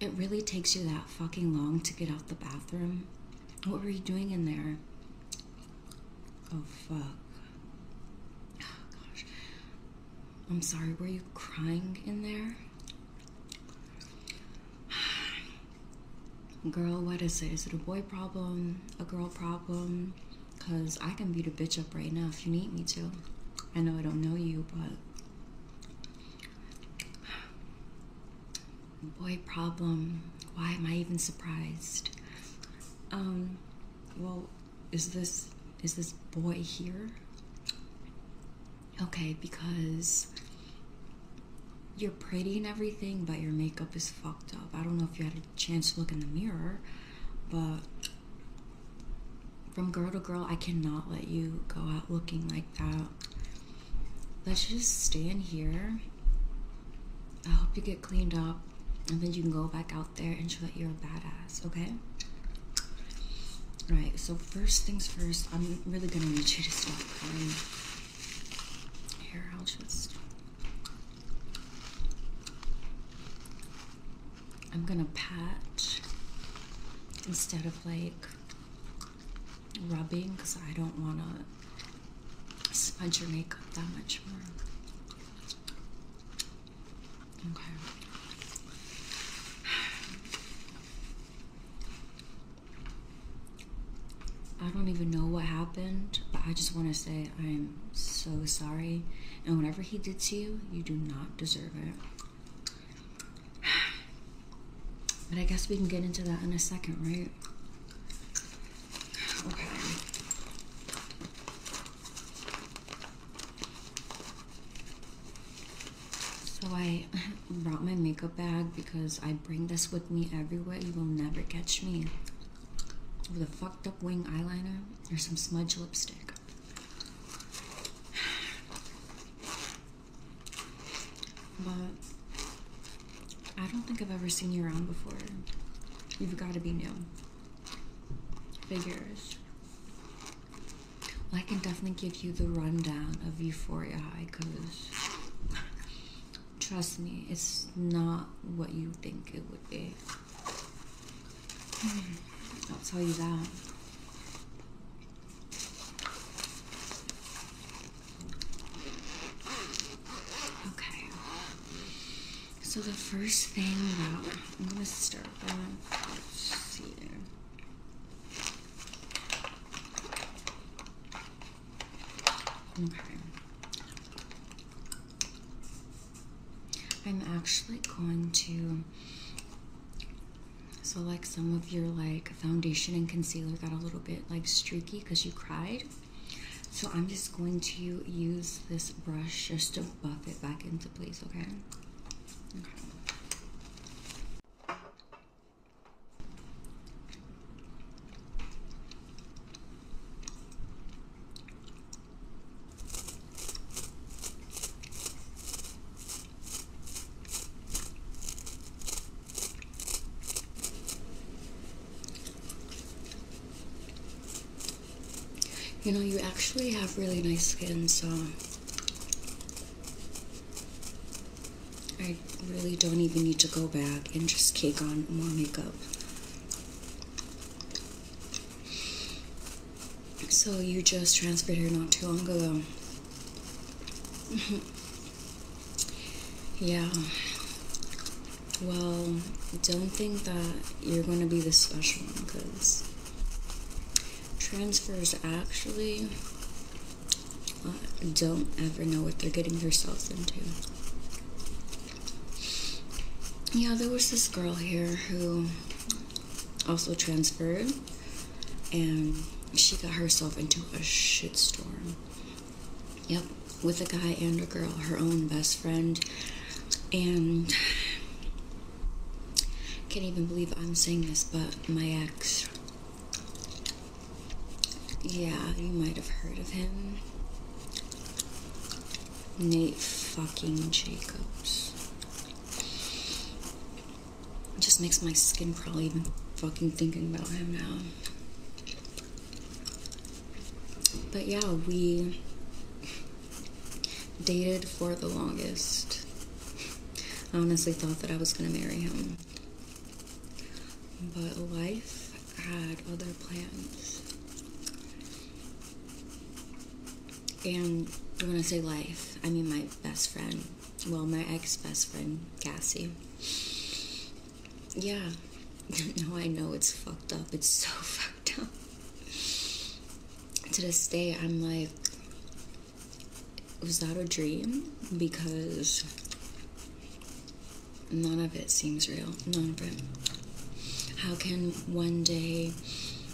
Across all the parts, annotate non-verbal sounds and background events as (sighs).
It really takes you that fucking long to get out the bathroom. What were you doing in there? Oh fuck. Oh, I'm sorry, were you crying in there? (sighs) Girl, what is it? Is it a boy problem? A girl problem? Because I can beat a bitch up right now if you need me to. I know I don't know you, but. (sighs) Boy problem. Why am I even surprised? Um, well, is this is this boy here? Okay, because you're pretty and everything, but your makeup is fucked up. I don't know if you had a chance to look in the mirror, but from girl to girl, I cannot let you go out looking like that. Let's just stand here. I hope you get cleaned up, and then you can go back out there and show that you're a badass okay? Alright, so first things first, I'm really gonna need you to stop crying. Here, I'll just. I'm gonna pat instead of like rubbing because I don't want to smudge your makeup that much more. Okay. I don't even know what happened, but I just want to say I'm so sorry. And whatever he did to you, you do not deserve it. (sighs) But I guess we can get into that in a second, right? Okay. So I (laughs) brought my makeup bag because I bring this with me everywhere. You will never catch me with a fucked up wing eyeliner or some smudge lipstick. (sighs) But I don't think I've ever seen you around before. You've got to be new. Figures. I can definitely give you the rundown of Euphoria High because trust me, it's not what you think it would be. (sighs) I'll tell you that. Okay. So the first thing that I'm gonna start with. let's see. Okay. I'm actually going to so like some of your like foundation and concealer got a little bit like streaky because you cried. So I'm just going to use this brush just to buff it back into place, okay? You know, you actually have really nice skin, so I really don't even need to go back and just cake on more makeup. So you just transferred here not too long ago. (laughs) yeah. Well, don't think that you're going to be the special one because transfers actually don't ever know what they're getting themselves into. Yeah, there was this girl here who also transferred, and she got herself into a shitstorm. Yep, with a guy and a girl, her own best friend, and can't even believe I'm saying this, but my ex. Yeah, you might have heard of him. Nate fucking Jacobs. just makes my skin crawl even fucking thinking about him now. But yeah, we dated for the longest. I honestly thought that I was going to marry him. But life had other plans. And when I say life, I mean my best friend. Well, my ex best friend, Cassie. Yeah. (laughs) now I know it's fucked up. It's so (laughs) fucked up to this day, I'm like, was that a dream? Because none of it seems real. None of it. How can one day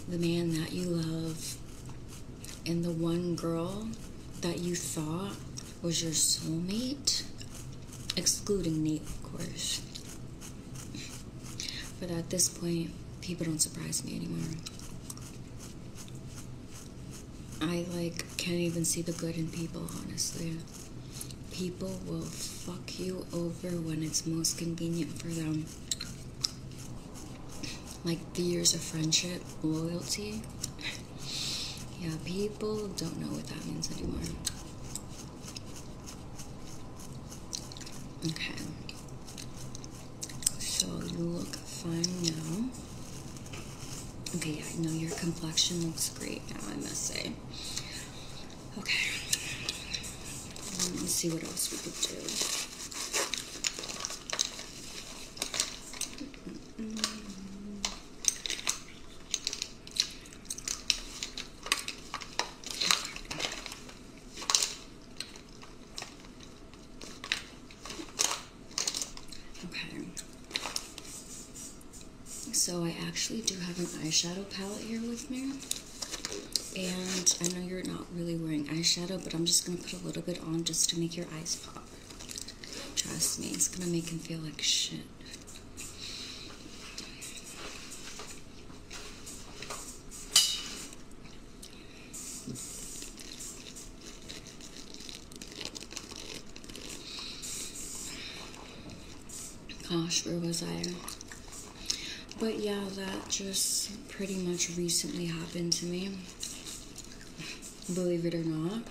the man that you love and the one girl that you thought was your soulmate, excluding Nate, of course, but at this point, people don't surprise me anymore. I like can't even see the good in people, honestly. People will fuck you over when it's most convenient for them. Like the years of friendship, loyalty. yeah, people don't know what that means anymore. Okay. So you look fine now. Okay, yeah, I know your complexion looks great now, I must say. Okay. Let me see what else we could do. Okay. So I actually do have an eyeshadow palette here with me. And I know you're not really wearing eyeshadow, but I'm just going to put a little bit on just to make your eyes pop. Trust me, it's going to make them feel like shit. Gosh, where was I? But yeah, that just pretty much recently happened to me. Believe it or not.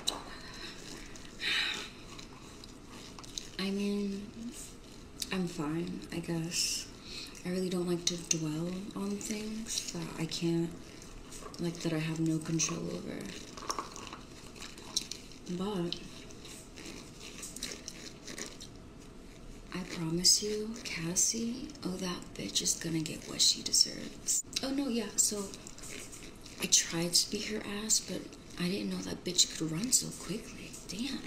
I mean, I'm fine, I guess. I really don't like to dwell on things that I can't, like, that I have no control over. But I promise you, Cassie, oh, that bitch is gonna get what she deserves. Oh, no, yeah, so I tried to beat her ass, but I didn't know that bitch could run so quickly. Damn.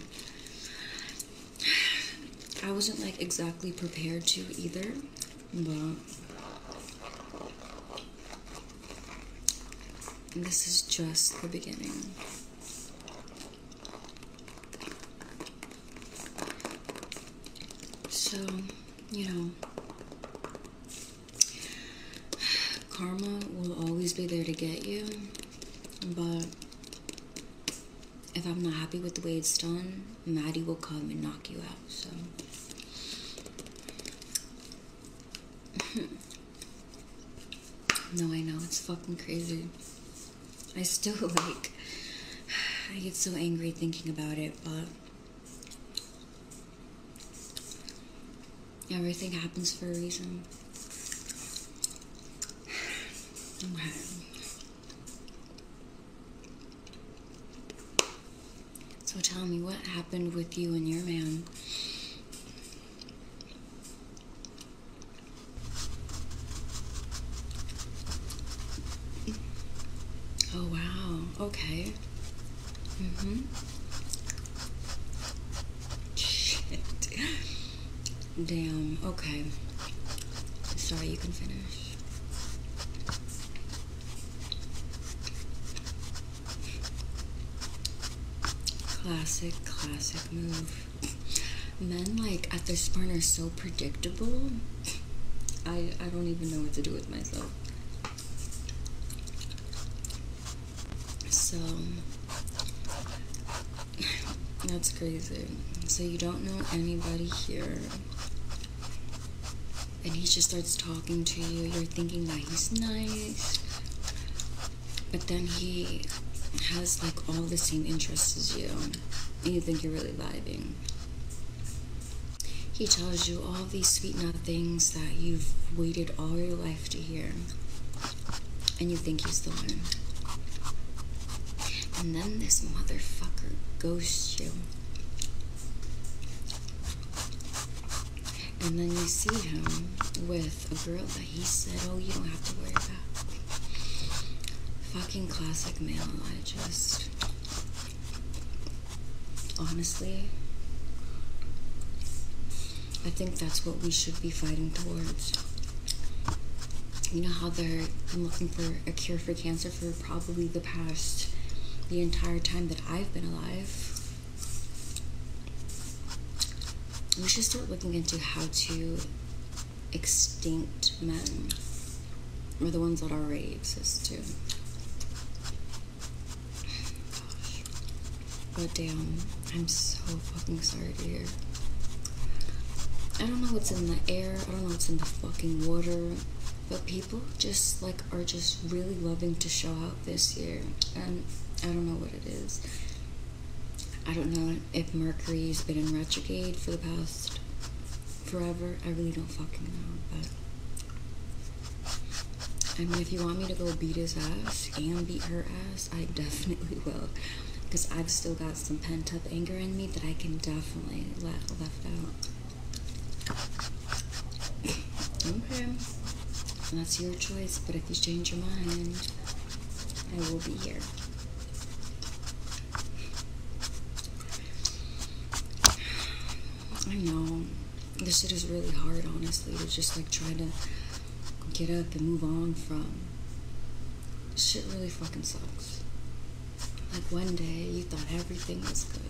I wasn't like exactly prepared to either, but this is just the beginning. So, you know, karma will always be there to get you, but if I'm not happy with the way it's done, Maddie will come and knock you out. So (laughs) No, I know it's fucking crazy. I still (laughs) like I get so angry thinking about it, but everything happens for a reason. Okay. (sighs) So tell me what happened with you and your man. Oh wow, okay. Mm-hmm. Shit. Damn, okay. Sorry, you can finish. Classic, classic move. Men, like, at this point are so predictable. I, I don't even know what to do with myself. So, that's crazy. So you don't know anybody here. And he just starts talking to you. You're thinking that he's nice. But then he has like all the same interests as you. And you think you're really vibing. He tells you all these sweet things that you've waited all your life to hear. And you think he's the one and then this motherfucker ghosts you. And then you see him with a girl that he said, Oh, you don't have to worry about. Fucking classic male. I just. Honestly, I think that's what we should be fighting towards you know how they're been looking for a cure for cancer for probably the past the entire time that I've been alive. We should start looking into how to extinct men or the ones that already exist too. (sighs) Gosh. But damn, I'm so fucking sorry I don't know what's in the air, I don't know what's in the fucking water, but people just like are just really loving to show out this year, and I don't know what it is. I don't know if Mercury's been in retrograde for the past forever. I really don't fucking know, but. I mean, if you want me to go beat his ass and beat her ass, I (laughs) definitely will because I've still got some pent up anger in me that I can definitely let left out. okay, that's your choice. But if you change your mind, I will be here. I know this shit is really hard, honestly, to just like try to get up and move on from. Shit really fucking sucks. Like one day you thought everything was good,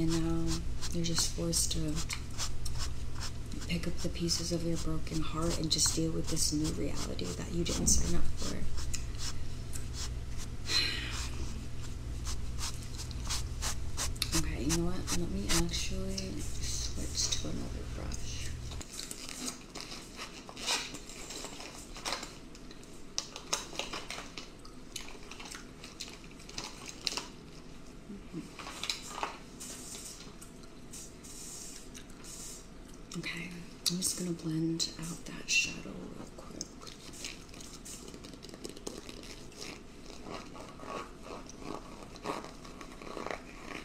and now you're just forced to pick up the pieces of your broken heart and just deal with this new reality that you didn't sign up for. (sighs) Okay, you know what? Let me actually switch to another brush. Okay, I'm just going to blend out that shadow real quick.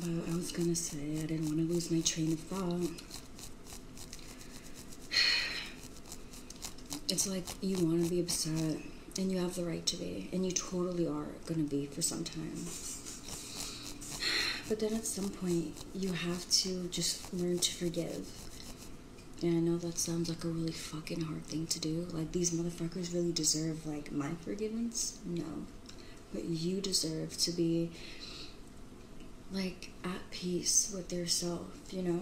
But I was gonna say I didn't want to lose my train of thought. (sighs) It's like you want to be upset, and you have the right to be, and you totally are going to be for some time. But then at some point, you have to just learn to forgive. And I know that sounds like a really fucking hard thing to do. Like, these motherfuckers really deserve, like, my forgiveness? No. But you deserve to be, like, at peace with yourself, you know?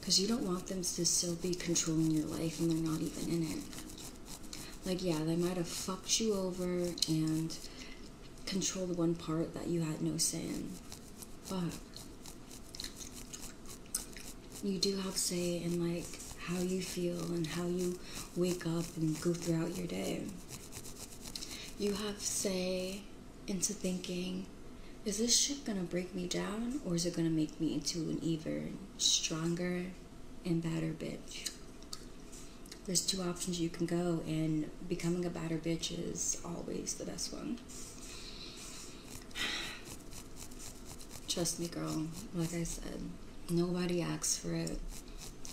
Because you don't want them to still be controlling your life and they're not even in it. Like, yeah, they might have fucked you over and controlled one part that you had no say in, but you do have say in, like, how you feel and how you wake up and go throughout your day. You have say into thinking, is this shit gonna break me down or is it gonna make me into an even stronger and badder bitch. There's two options you can go, and becoming a badder bitch is always the best one. Trust me, girl, like I said, nobody asks for it,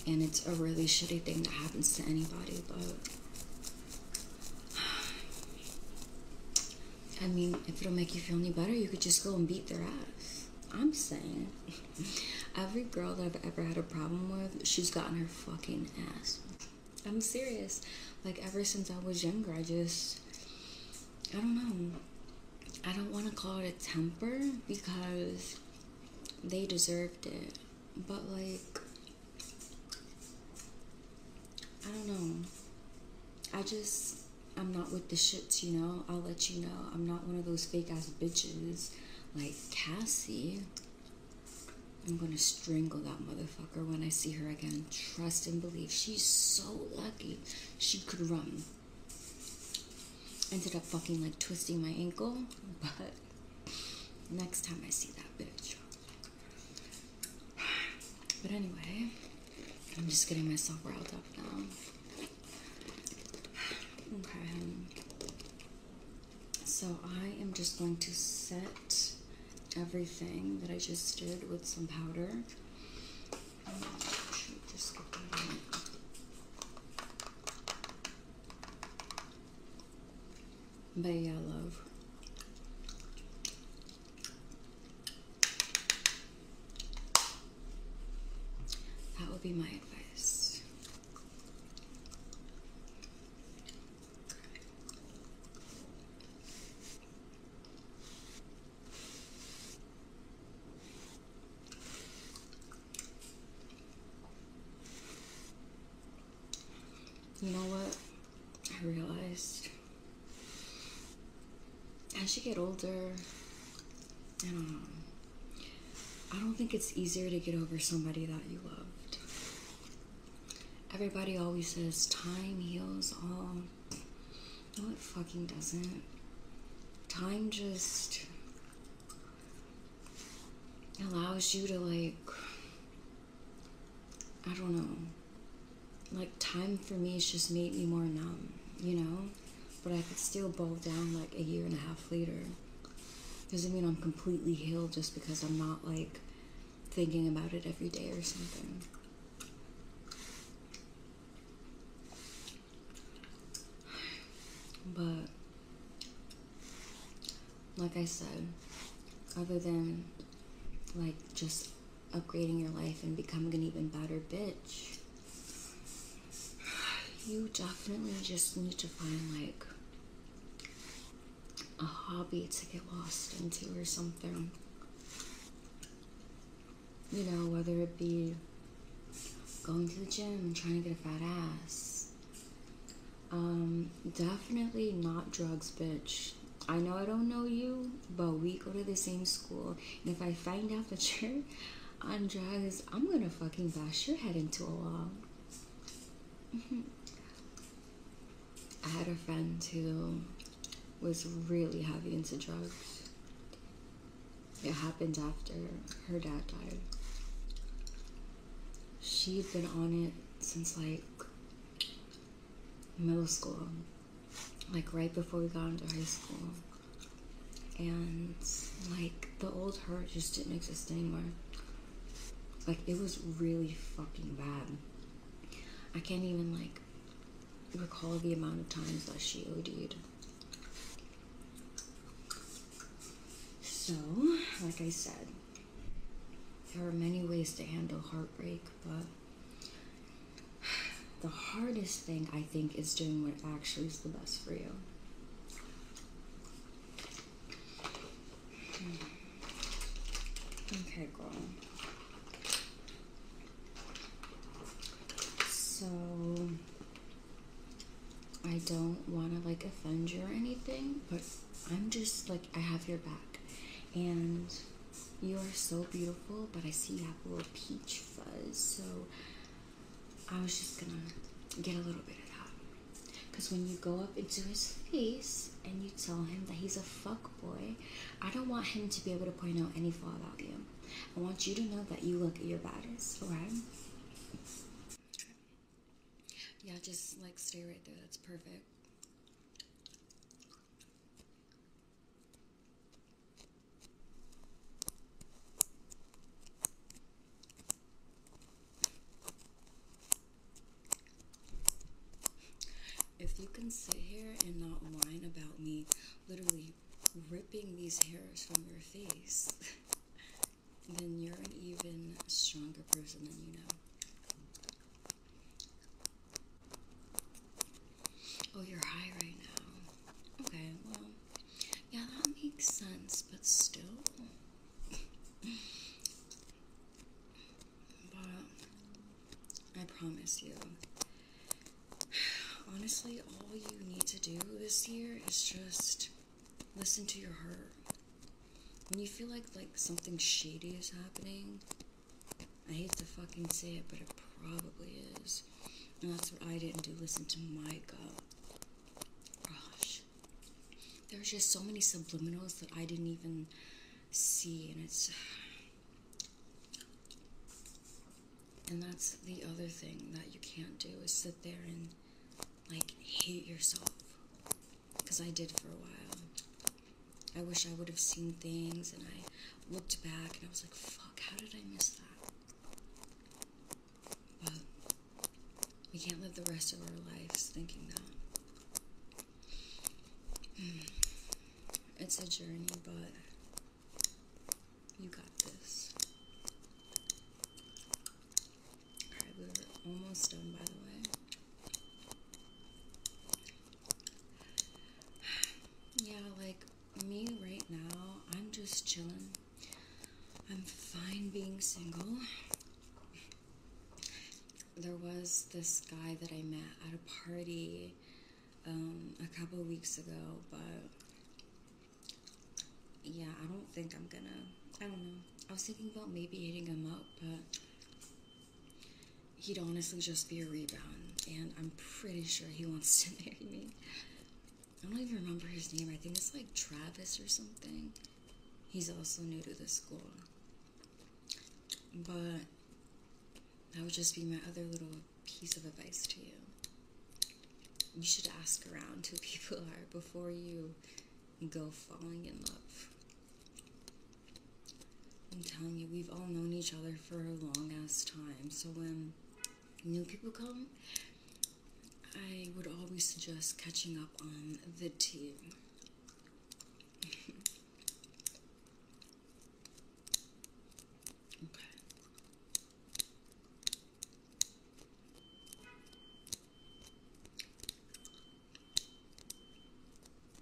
and it's a really shitty thing that happens to anybody, but I mean, if it'll make you feel any better, you could just go and beat their ass. I'm saying, (laughs) every girl that I've ever had a problem with, she's gotten her fucking ass. I'm serious. Like, ever since I was younger, I just, I don't know. I don't want to call it a temper because they deserved it. But, like, I don't know. I just, I'm not with the shits, you know? I'll let you know. I'm not one of those fake ass bitches like Cassie. I'm gonna strangle that motherfucker when I see her again. Trust and believe. She's so lucky she could run. Ended up fucking like twisting my ankle, but next time I see that bitch. But anyway. I'm just getting myself riled up now. Okay. So I am just going to set everything that I just did with some powder. But yeah, love. That would be my advice. You know what? I realized as you get older, I don't know. I don't think it's easier to get over somebody that you loved. Everybody always says time heals all. No, it fucking doesn't. Time just allows you to, like, I don't know, like time for me has just made me more numb, you know? But I could still bow down like a year and a half later. Doesn't mean I'm completely healed just because I'm not like thinking about it every day or something. But like I said, other than like just upgrading your life and becoming an even better bitch. You definitely just need to find like a hobby to get lost into or something. You know, whether it be going to the gym and trying to get a fat ass. Um, definitely not drugs, bitch. I know I don't know you, but we go to the same school. And if I find out that (laughs) you're on drugs, I'm gonna fucking bash your head into a wall. (laughs) I had a friend who was really heavy into drugs. It happened after her dad died. She'd been on it since like middle school like right before we got into high school. And like the old hurt just didn't exist anymore. Like it was really fucking bad. I can't even like recall the amount of times that she od So, like I said, there are many ways to handle heartbreak, but the hardest thing I think is doing what actually is the best for you. Hmm. Okay, girl. So I don't want to like offend you or anything, but I'm just like I have your back and you are so beautiful, but I see you have a little peach fuzz, so I was just gonna get a little bit of that. Because when you go up into his face and you tell him that he's a fuck boy, I don't want him to be able to point out any flaw about you. I want you to know that you look at your baddest, alright? Yeah, just like stay right there. That's perfect. If you can sit here and not whine about me literally ripping these hairs from your face, (laughs) then you're an even stronger person than you know. Oh, you're high right now. Okay, well, yeah, that makes sense, but still. (sighs) but I promise you, (sighs) honestly, all you need to do this year is just listen to your heart. When you feel like like something shady is happening, I hate to fucking say it, but it probably is. And that's what I didn't do. Listen to my gut. Gosh. There's just so many subliminals that I didn't even see, and it's. And that's the other thing that you can't do is sit there and like hate yourself. Because I did for a while. I wish I would have seen things and I looked back and I was like, fuck, how did I miss that? But we can't live the rest of our lives thinking that. Hmm. It's a journey, but you got this. Alright, we were almost done, by the way. (sighs) Yeah, like me right now, I'm just chilling. I'm fine being single. There was this guy that I met at a party um, a couple weeks ago, but yeah, I don't think I'm gonna. I don't know. I was thinking about maybe hitting him up, but he'd honestly just be a rebound, and I'm pretty sure he wants to (laughs) marry me. I don't even remember his name. I think it's like Travis or something. He's also new to the school. But that would just be my other little piece of advice to you. You should ask around who (laughs) people are before you go falling in love. I'm telling you, we've all known each other for a long ass time. So when new people come, I would always suggest catching up on the team. (laughs) okay.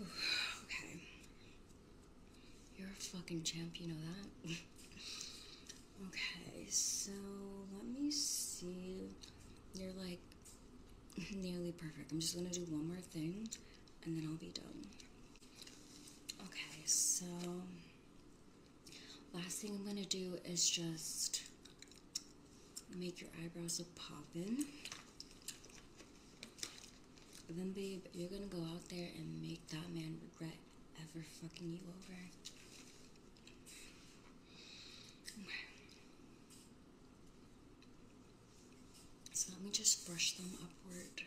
okay. (sighs) You're a fucking champ, you know that? (laughs) okay, so let me see. You're like (laughs) nearly perfect. I'm just gonna do one more thing and then I'll be done. Okay, so last thing I'm gonna do is just make your eyebrows look poppin'. then, babe, you're gonna go out there and make that man regret ever fucking you over. So let me just brush them upward.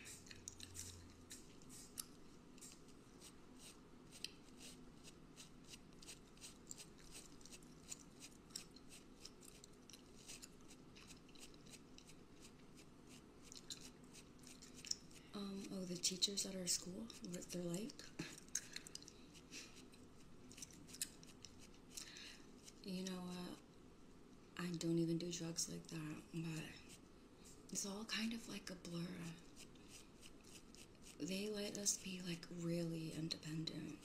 Um, oh, the teachers at our school, what they're like. You know what? I don't even do drugs like that, but it's all kind of like a blur they let us be like really independent.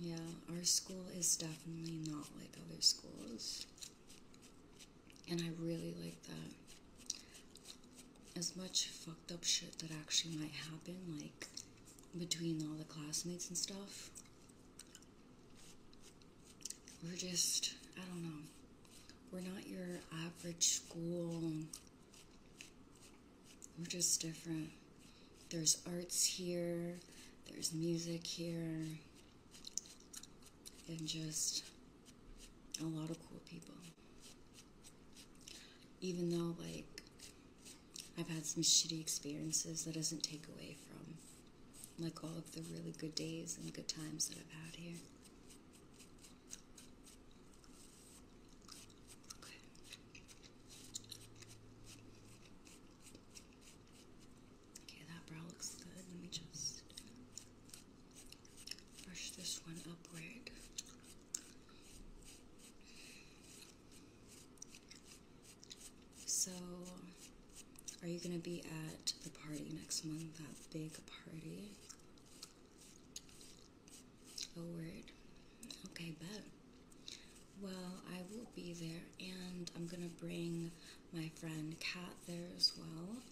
yeah, our school is definitely not like other schools. And I really like that. As much fucked up shit that actually might happen, like between all the classmates and stuff, we're just, I don't know, we're not your average school we're just different. There's arts here, there's music here, and just a lot of cool people. Even though, like, I've had some shitty experiences, that doesn't take away from, like, all of the really good days and good times that I've had here. Okay. Okay, that brow looks good. Let me just brush this one upward. So, are you going to be at the party next month? That big party? A word. Okay, but Well, I will be there, and I'm gonna bring my friend Kat there as well.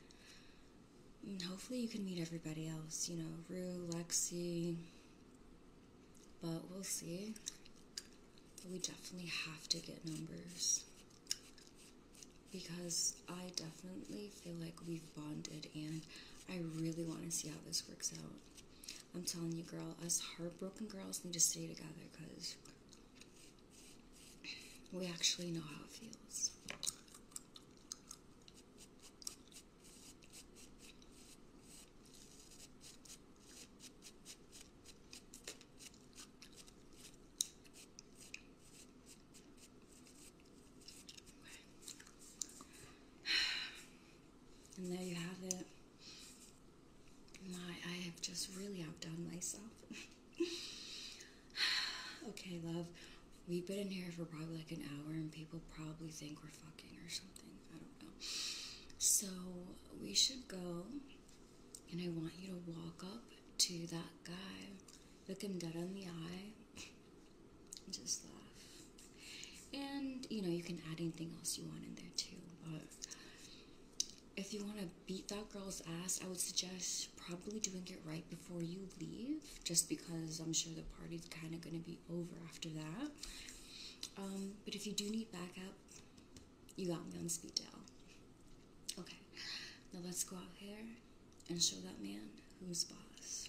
And hopefully, you can meet everybody else. You know, Rue, Lexi. But we'll see. We definitely have to get numbers because I definitely feel like we've bonded, and I really want to see how this works out. I'm telling you, girl, us heartbroken girls need to stay together because we actually know how it feels. (sighs) And there you have it. I have just really outdone myself. (sighs) okay, love. We've been in here for probably like an hour, and people probably think we're fucking or something. I don't know. So we should go, and I want you to walk up to that guy, look him dead in the eye, just laugh. And you know, you can add anything else you want in there too. But if you want to beat that girl's ass, I would suggest probably doing it right before you leave, just because I'm sure the party's kind of going to be over after that. Um, but if you do need backup, you got me on speed dial. Okay, now let's go out here and show that man who's boss.